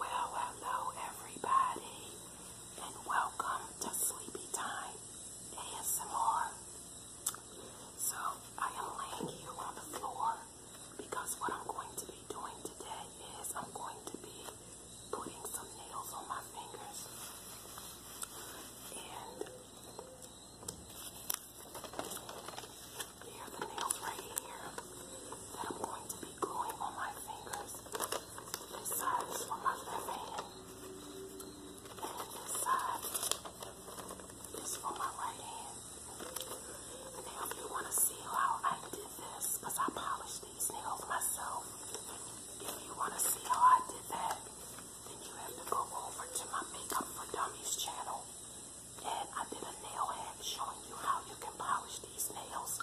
Well, hello everybody, and welcome to Sleepy Time ASMR. So, I am laying here on the floor because what I'm going to be doing today is I'm going to be putting some nails on my fingers. And they the nails right here that I'm going to be gluing on my fingers. This side is for my left hand. And this side is for my right hand. Now if you want to see how I did this, because I polished these nails myself. If you want to see how I did that, then you have to go over to my Makeup for Dummies channel and I did a nail hack showing you how you can polish these nails.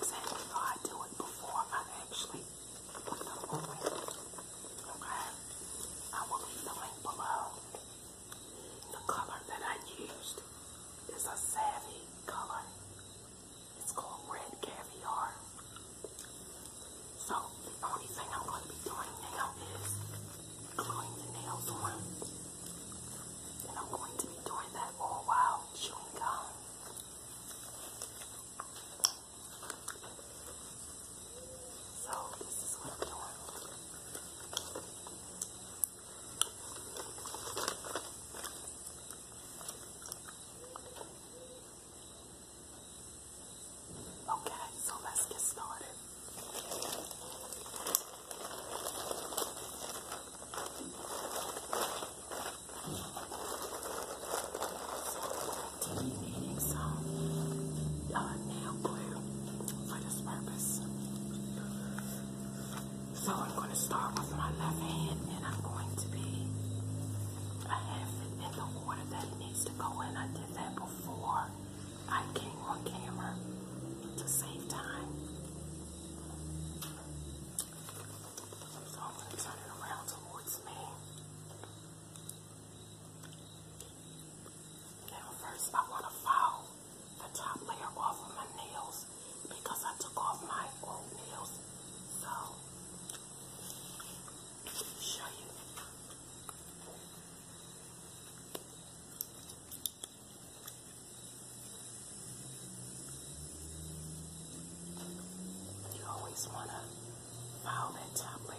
Exactly how I do it before I actually put them on. Okay? I will leave the link below. The color that I used is a savvy color. It's called Red Caviar. So the only thing I'm going to be doing now is gluing the nails on. And I'm going to be doing that all while chewing gum. So this is what I'm Okay, so let's get started. So, uh, nail glue for this purpose. So I'm going to start with my left hand and I'm going to be, I have in the order that it needs to go in. I did that before I came on camera to save time. So I'm going to turn it around towards me. Now first I want to file the top layer off of my nails because I took off my old nails. So, show you. You always want to file that top layer.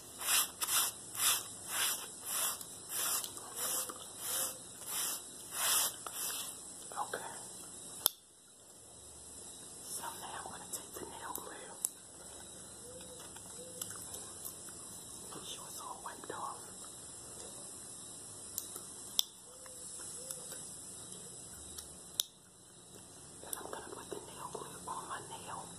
Okay. So now I'm going to take the nail glue. Make sure it's all wiped off. And I'm going to put the nail glue on my nail.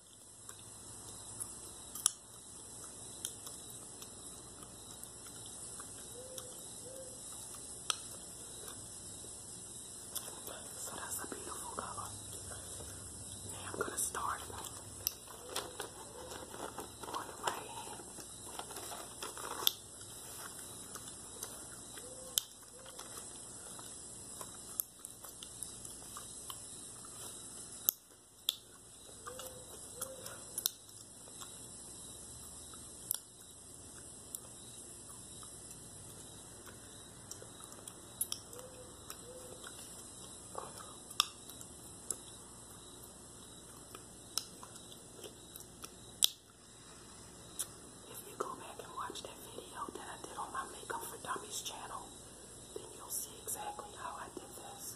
So that's a beautiful color. Now I'm gonna start on the right hand. If you go back and watch that video that I did on my Makeup for Dummies channel, then you'll see exactly how I did this.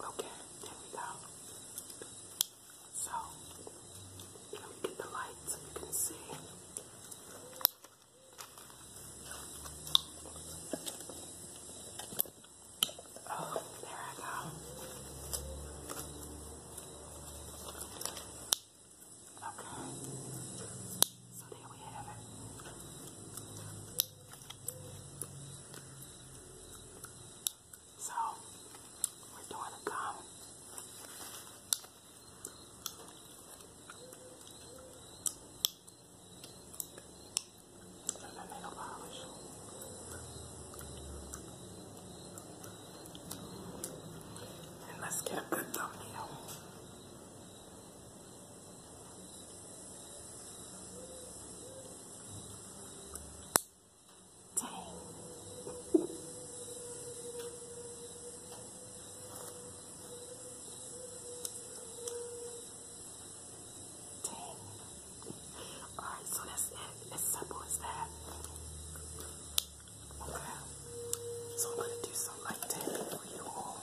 Okay, there we go. So, let me get the light so you can see. Oh, there I go. Okay, so there we have it. So we're doing a gum. And a nail polish. And let's get the thumbnail. Alright, so that's it. As simple as that. Okay. So I'm gonna do some for you all.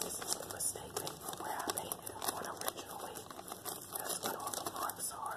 This is the mistake paper where I painted them on originally. That's what all the marks are.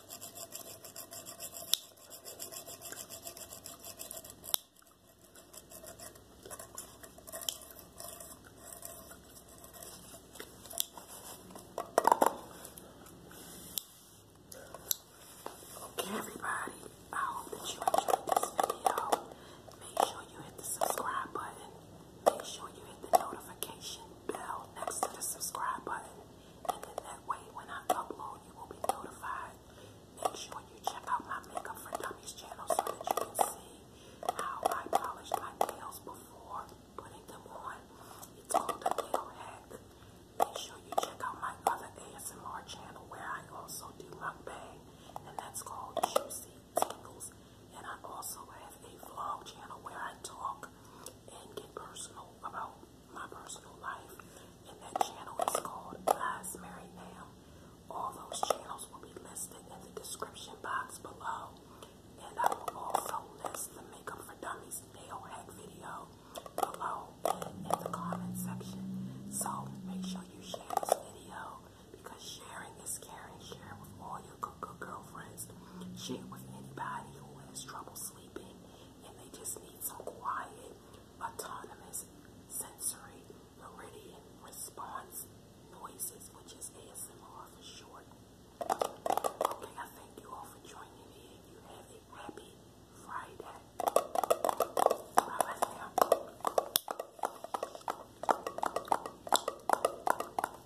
Okay, everybody, I hope that you enjoyed this video. Make sure you hit the subscribe button, make sure you hit the notification bell next to the subscribe button, and then that way, when I upload, you will be notified. Make sure you check out my Makeup for Dummies channel so that you can see how I polish my nails before putting them on. It's called a nail hack. Make sure you check out my other ASMR channel where I also do mukbang, and that's called Juicy Tingles. And I also have a vlog channel where I talk and get personal about my personal life. And that channel is called Guys Married Now. All those channels will be listed in the description box below. And I will also list the Makeup for Dummies nail hack video below in the comment section. So make sure you share this video because sharing is caring. Share with all good, girlfriends share with anybody who has trouble sleeping and they just need some quiet, autonomous, sensory, meridian response noises, which is ASMR for short. Okay, I thank you all for joining me you have a happy Friday. Bye right